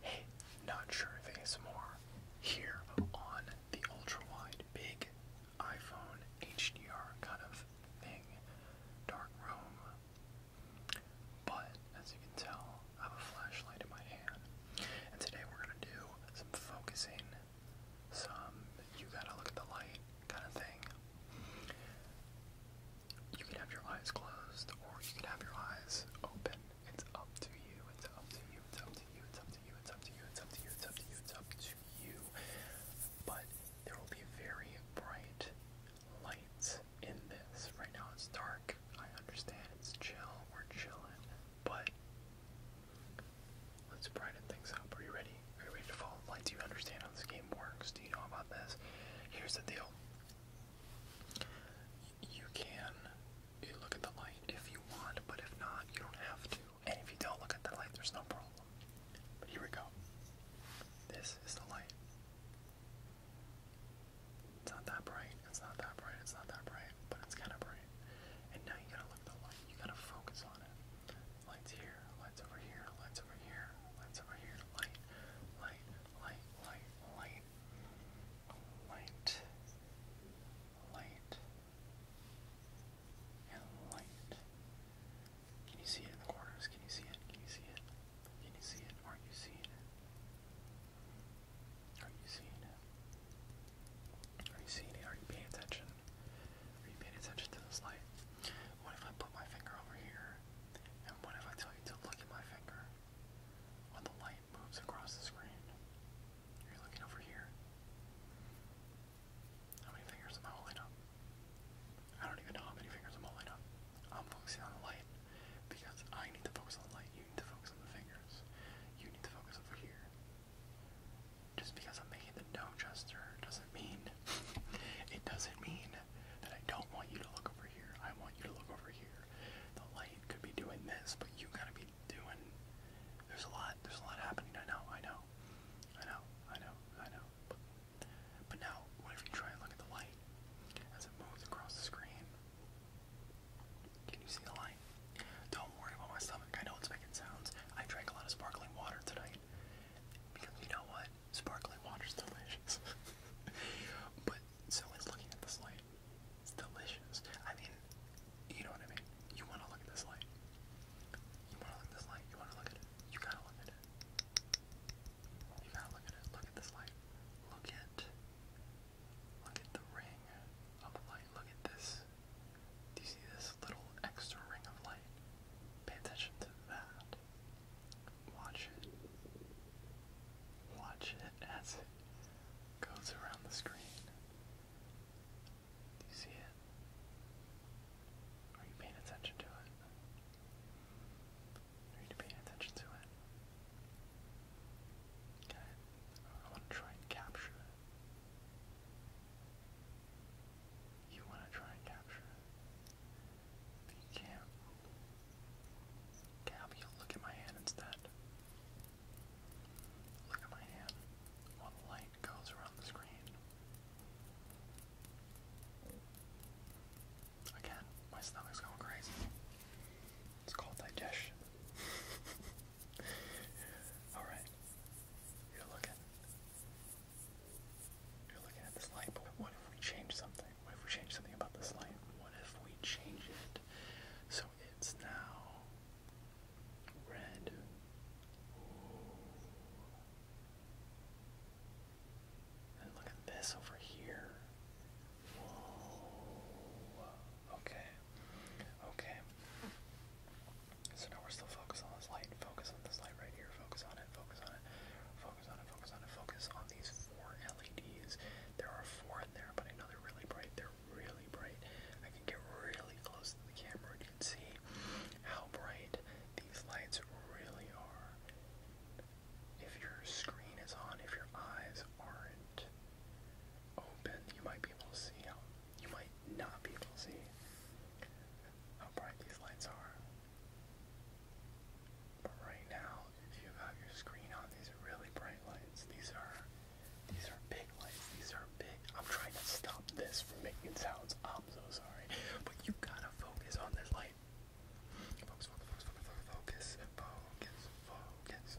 Hey, not sure if more here on the ultra wide big iPhone HDR kind of thing, dark room. But as you can tell, I have a flashlight in my hand. And today we're going to do some focusing some you gotta look at the light kind of thing. You can have your eyes closed or you can have your eyes open. It's up to you, it's up to you, it's up to you, it's up to you, it's up to you, it's up to you, it's up to you, it's up to you. But there will be very bright lights in this. Right now it's dark. I understand it's chill, we're chilling, but Let's brighten things up. Are you ready? Are you ready to fall in light? Do you understand how this game works? Do you know about this? Here's the deal. You can look at the light if you want, but if not, you don't have to. And if you don't look at the light, there's no problem. But here we go. This is the light. It's not that bright. It's not that bright. It's not that bright, but it's kind of bright. And now you gotta look the light. You gotta focus on it. Lights here, lights over here, lights over here, lights over here, light, light, light, light, light, light, light, light. Can you see it in the corners? Can you see it? Can you see it? Can you see it? Aren't you seeing it? Are you seeing it? Are you seeing it? Are you paying attention? Are you paying attention to this light? What if I put my finger over here? And what if I tell you to look at my finger when the light moves across the screen? You're looking over here. How many fingers am I holding up? I don't even know how many fingers I'm holding up. I'm focusing on the light because I need to focus on the light. You need to focus on the fingers. You need to focus over here. Just because I'm making the no gesture doesn't mean it doesn't mean that I don't want you to look over here. I want you to look over here. The light could be doing this, but you gotta be doing there's a lot there's a lot happening, I know, I know. I know, I know, I know. but now, what if you try and look at the light as it moves across the screen? Can you see the light? Don't worry about my stomach. I know it's making sounds. I drank a lot of sparkling water tonight. Because you know what? Sparkling water's delicious. but so looking at this light. It's delicious. I mean, you know what I mean? You want to look at this light. You want to look at this light. You want to look at it. You gotta look at it. You gotta look at it. Look at this light. Look at Look at the ring of light. Look at this. Do you see this little extra ring of light? Pay attention to that. Watch it. Watch it as it goes around the screen. Do you see it? Are you paying attention to it? Are you paying attention to it? I want to try and capture it. You want to try and capture it. You can't. look at my hand instead? Look at my hand while light goes around the screen. Again, my stomach's going crazy. It's called digestion. Alright. You're looking. You're looking at this light, but what if we change something? What if we change something about this light? What if we change it so it's now red? And look at this over here. Okay. Okay. So now we're still focused on this light. Focus on this light right here. Focus on it. Focus on it. Focus on it. Focus on it. Focus on these four LEDs. There are four in there, but I know they're really bright. They're really bright. I can get really close to the camera and you can see how bright these lights really are. If your screen is on, if your eyes aren't open, oh, you might be able to see how, you might not be able to see how bright these lights are. But right now, if you've your screen on, these are really bright lights. These are, these are big lights. These are big. I'm trying to stop this from making sounds. I'm so sorry. But you gotta focus on this light. focus, focus, focus, focus, focus, focus,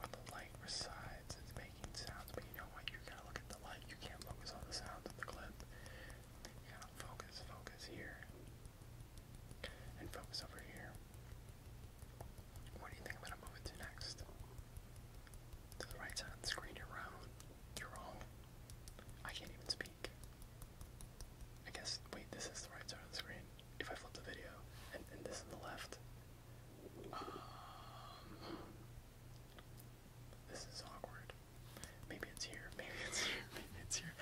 when the light resides, it's making sounds, but you know what? You gotta look at the light. You can't focus on the sounds of the clip. You gotta focus, focus here, and focus over here. What do you think I'm gonna move it to next? To the right side screen, you're wrong. You're wrong. I can't even speak. I guess, wait, this is the right side of the screen. If I flip the video, and this is the left, um, this is awkward. Maybe it's here. Maybe it's here. Maybe it's here.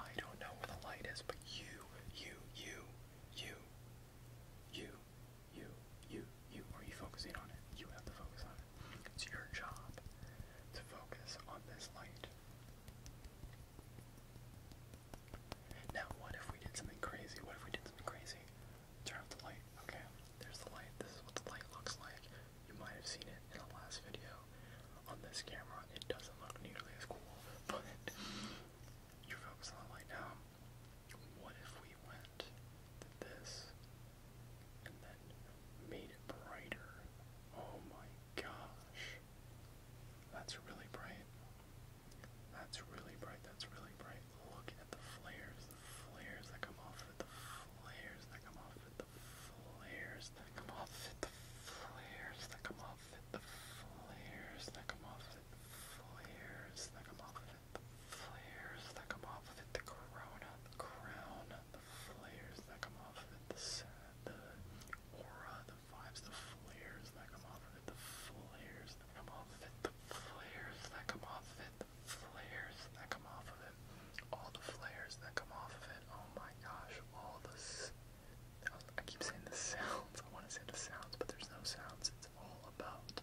I don't know where the light is, but you, you, you, you, you, you, you, you. Are you focusing on it? You have to focus on it. It's your job to focus on this light. Now, what if we did something crazy? What if we did something crazy? Turn off the light. Okay, there's the light. This is what the light looks like. You might have seen it in the last video. On this camera, it doesn't look nearly as cool, but you're focused on the light now. What if we went this and then made it brighter? Oh my gosh. That's really bright. That's really bright. That's really bright. Look at the flares, the flares that come off it, the flares that come off it, the flares that come off it, the flares that come off it, the flares that come off it, flares that come off it, the flares that come off of it, the corona, the crown, the flares that come off of it, the, the aura, the flares that come off of it, the flares that come off of it, the flares that come off of it, the flares that come off of it, all the flares that come off of it. Oh my gosh, all the I keep saying the sounds. I want to say the sounds, but there's no sounds. It's all about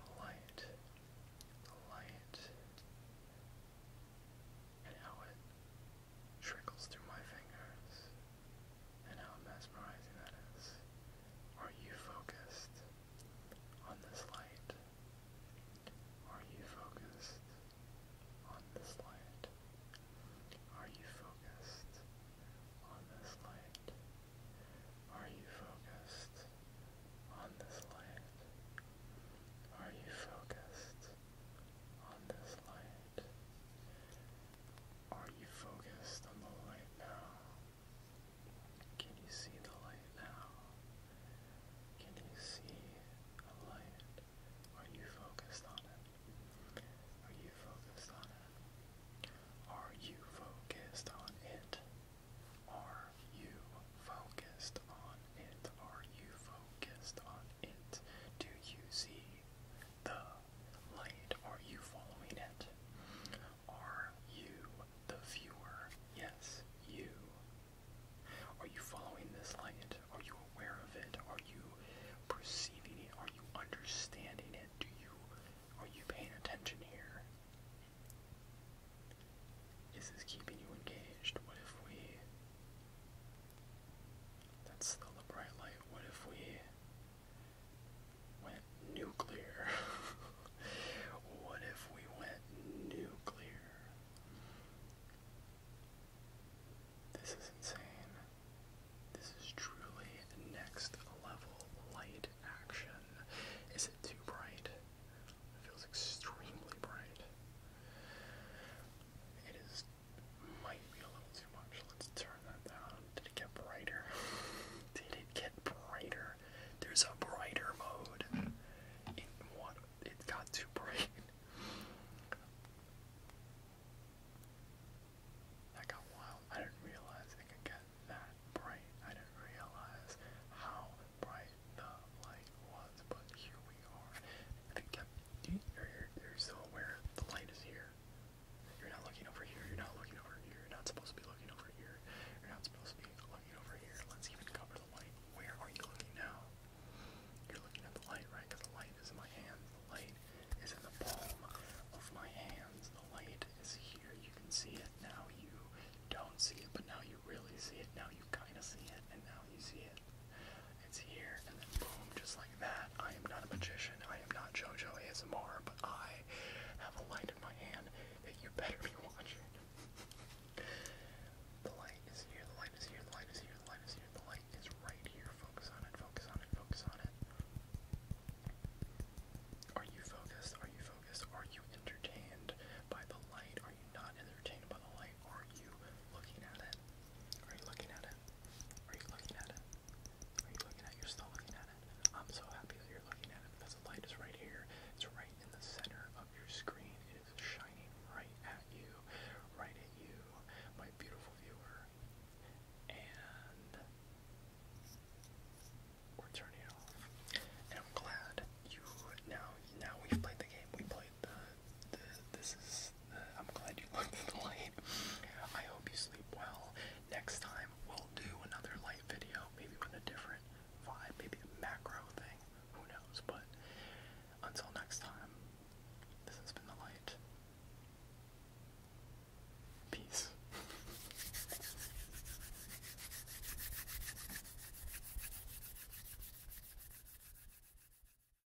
the light, the light, and how it trickles through my fingers and how mesmerizing that is. Are you focused on this light? Are you focused on this light? Are you focused on this light? Are you focused on this light? Are you focused on this light? Are you focused on the light now? Can you see the light now? Can you see the light? Are you focused on it? Are you focused on it? Are you focused on it? Are you focused on it? Are you focused on it? Do you see? the light? Are you following it? Are you the viewer? Yes, you. Are you following this light? Are you aware of it? Are you perceiving it? Are you understanding it? Do you are you paying attention here? Is this keeping you engaged? What if we that's still a bright light. What if we went nuclear? what if we went nuclear? This is insane. This is truly next level light action. Is it too bright? It feels extremely bright. It is might be a little too much. Let's turn that down. Did it get brighter? Did it get brighter? There's a brighter mode. It, what, it got too bright. That got wild. I didn't realize it could get that bright. I didn't realize how bright the light was, but here we are. I think that, you're, you're still aware the light is here here. You're not looking over here. You're not looking over here. You're not supposed to be looking over here. You're not supposed to be looking over here. Let's even cover the light. Where are you looking now? You're looking at the light, right? Because the light is in my hands. The light is in the palm of my hands. The light is here. You can see it. Now you don't see it, but now you really see it. Now you kind of see it, and now you see it. It's here, and then boom, just like that. I am not a magician. I am not JoJo ASMR, but I have a light in my hand that you better be watching. the light is here, the light is here, the light is here, the light is here, the light is right here. Focus on it, focus on it, focus on it. Are you focused? Are you focused? Are you entertained by the light? Are you not entertained by the light? Are you looking at it? Are you looking at it? Are you looking at it? Are you looking at it? You're still looking at it. I'm so happy that you're looking at it because the light is right here. It's right in the center of your screen. It is shining right at you, right at you, my beautiful viewer. And we're turning it off. And I'm glad you now. Now we've played the game. We played this is I'm glad you looked the light. I hope you sleep well. Next time we'll do another light video, maybe with a different vibe, maybe a macro thing. Who knows? But until next time, this has been the light. Peace.